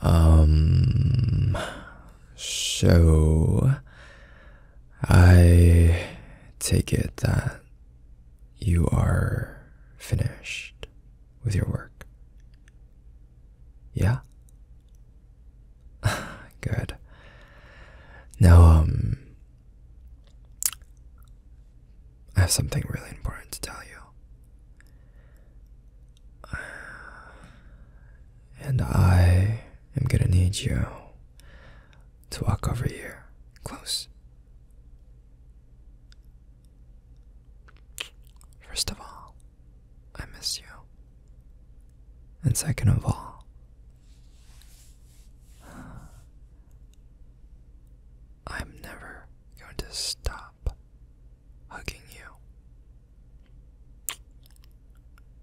Um, so I take it that you are finished with your work. Yeah? Good. Now, um, I have something really important to tell you. And I am gonna need you to walk over here close. First of all, I miss you. And second of all, I'm never going to stop hugging you.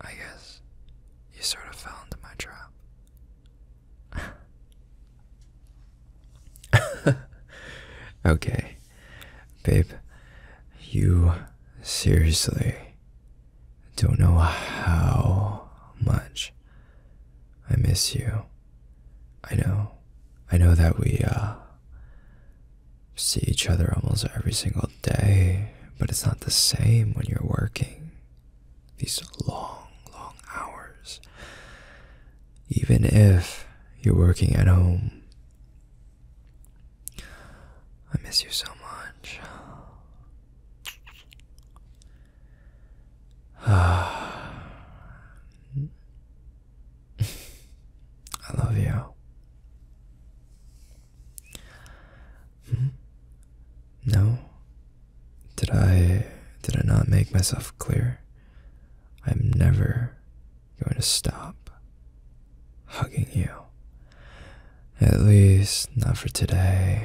I guess you sort of fell into my trap. okay, babe, you seriously don't know how much I miss you. I know, I know that we, uh, see each other almost every single day, but it's not the same when you're working these long, long hours. Even if you're working at home, I miss you so much. I love you. Hmm? No. Did I did I not make myself clear? I'm never going to stop hugging you. At least not for today.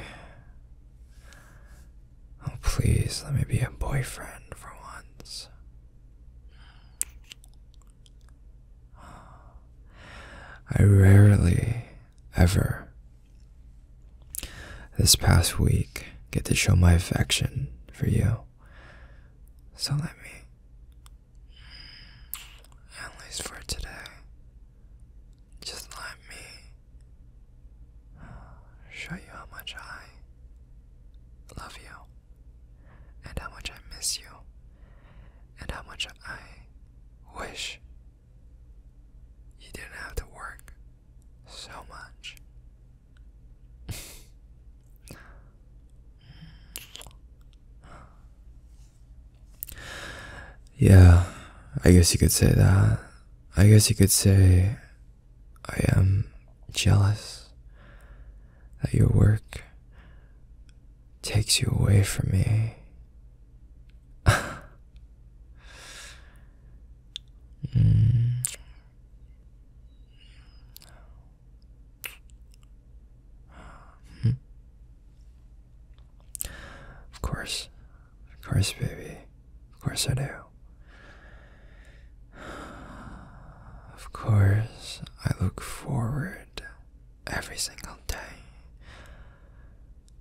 Oh, please, let me be a boyfriend for once. I rarely ever this past week get to show my affection for you. So let me, at least for today, just let me show you how much I love you, and how much I miss you, and how much I wish you didn't have to work so much. yeah, I guess you could say that. I guess you could say I am jealous that your work takes you away from me. Hmm. Hmm. Of course, of course, baby, of course I do. Of course, I look forward every single day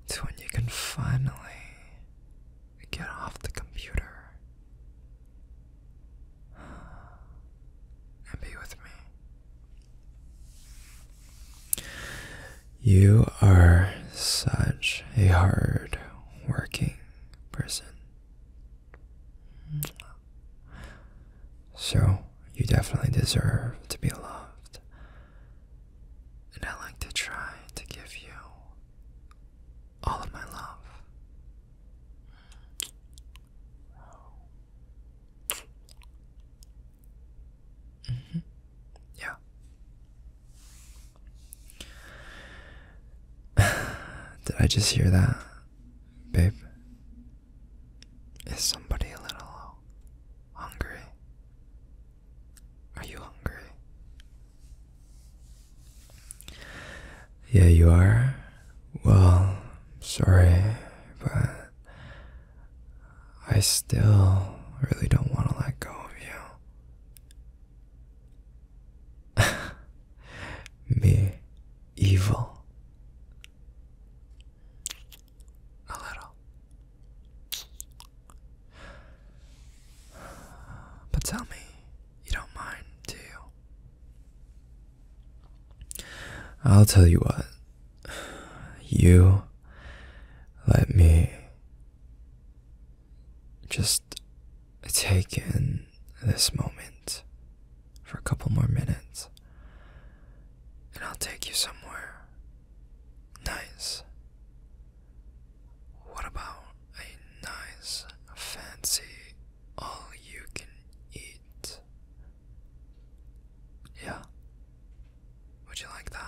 to when you can finally get off the computer and be with me. You are such a hard working person. So, you definitely deserve to be loved. And I like to try to give you all of my love. Mm-hmm. Yeah. Did I just hear that, babe? Is somebody a little hungry? Are you hungry? Yeah, you are? Well, I'm sorry, but I still really don't want to let go of you. me evil a little. But tell me, you don't mind, do you? I'll tell you what. You let me just take in this moment for a couple more minutes, and I'll take you somewhere nice. What about a nice, fancy, all you can eat? Yeah? Would you like that?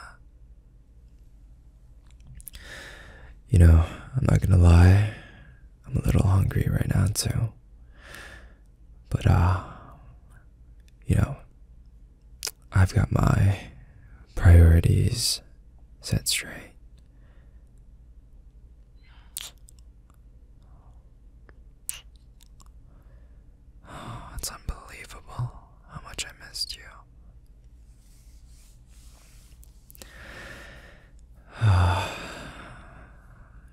You know, I'm not gonna lie, I'm a little hungry right now too. But, uh, you know, I've got my priorities set straight. it's unbelievable how much I missed you.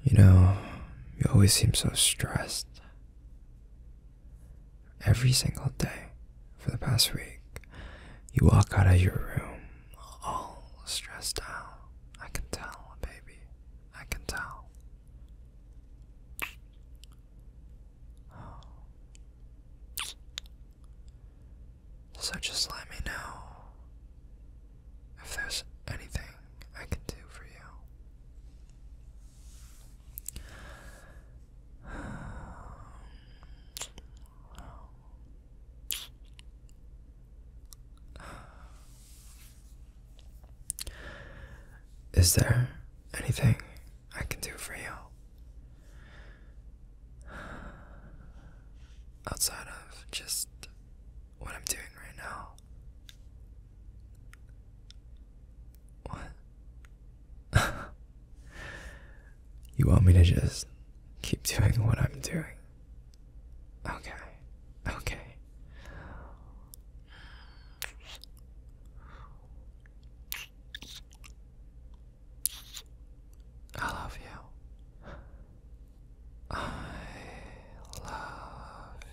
you know, you always seem so stressed. Every single day for the past week, you walk out of your room all stressed out. I can tell, baby. I can tell. Oh. So just let me know if there's anything I can do for you. Is there anything I can do for you outside of just what I'm doing right now. What? you want me to just keep doing what I'm doing? Okay, okay. I love you. I love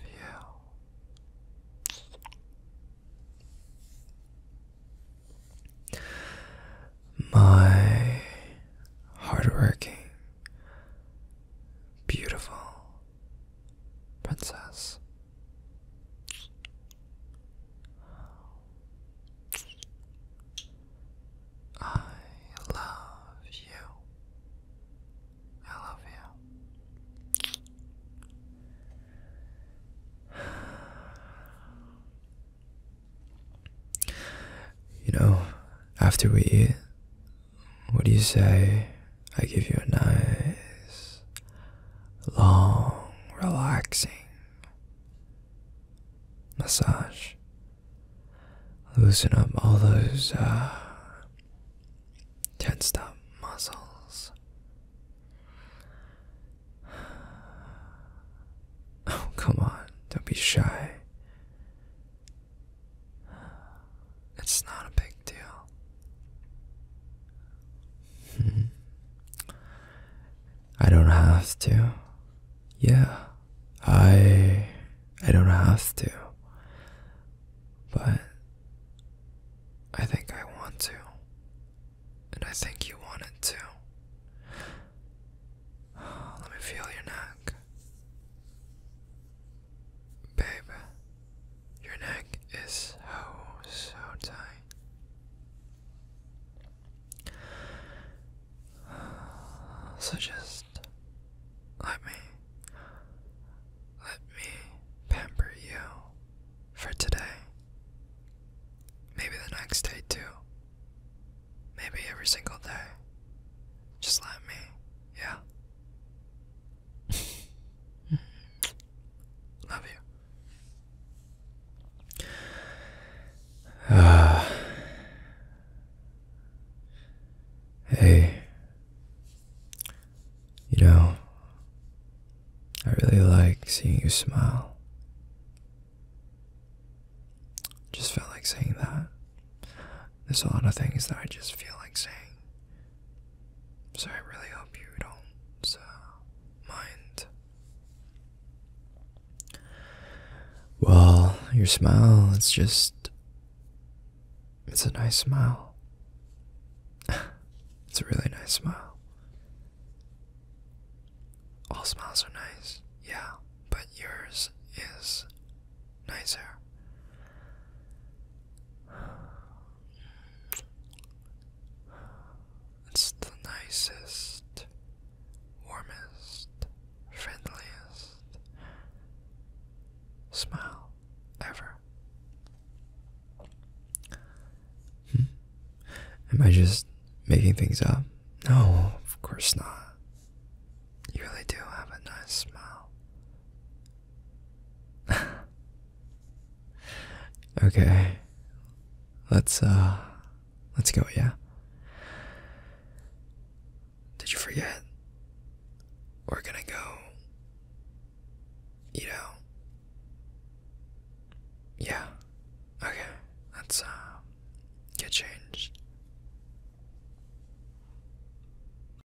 you. My hardworking, beautiful princess. I love you. I love you. You know, after we eat, what do you say I give you a nice, long, relaxing massage. Loosen up all those uh, tensed up muscles. Oh, come on, don't be shy. It's not a big deal. Hmm. I don't have to. Yeah. I I don't have to. But I think I want to. And I think you wanted to. Let me feel your neck. Babe, your neck is so, so tight. So just let me, let me pamper you for today. Maybe the next day too. Maybe every single day. Just let me, yeah? Love you. Uh, hey, you know, I really like seeing you smile. Just felt like saying that. There's a lot of things that I just feel like saying. So I really hope you don't uh, mind. Well, your smile, it's just. It's a nice smile. it's a really nice smile. All smiles are nice, yeah, but yours is nicer. It's the nicest, warmest, friendliest smile ever. Hmm. Am I just making things up? No, of course not. You really do have a nice smile. okay. Let's uh let's go, yeah. Did you forget? We're gonna go You know. Yeah. Okay. Let's uh get changed.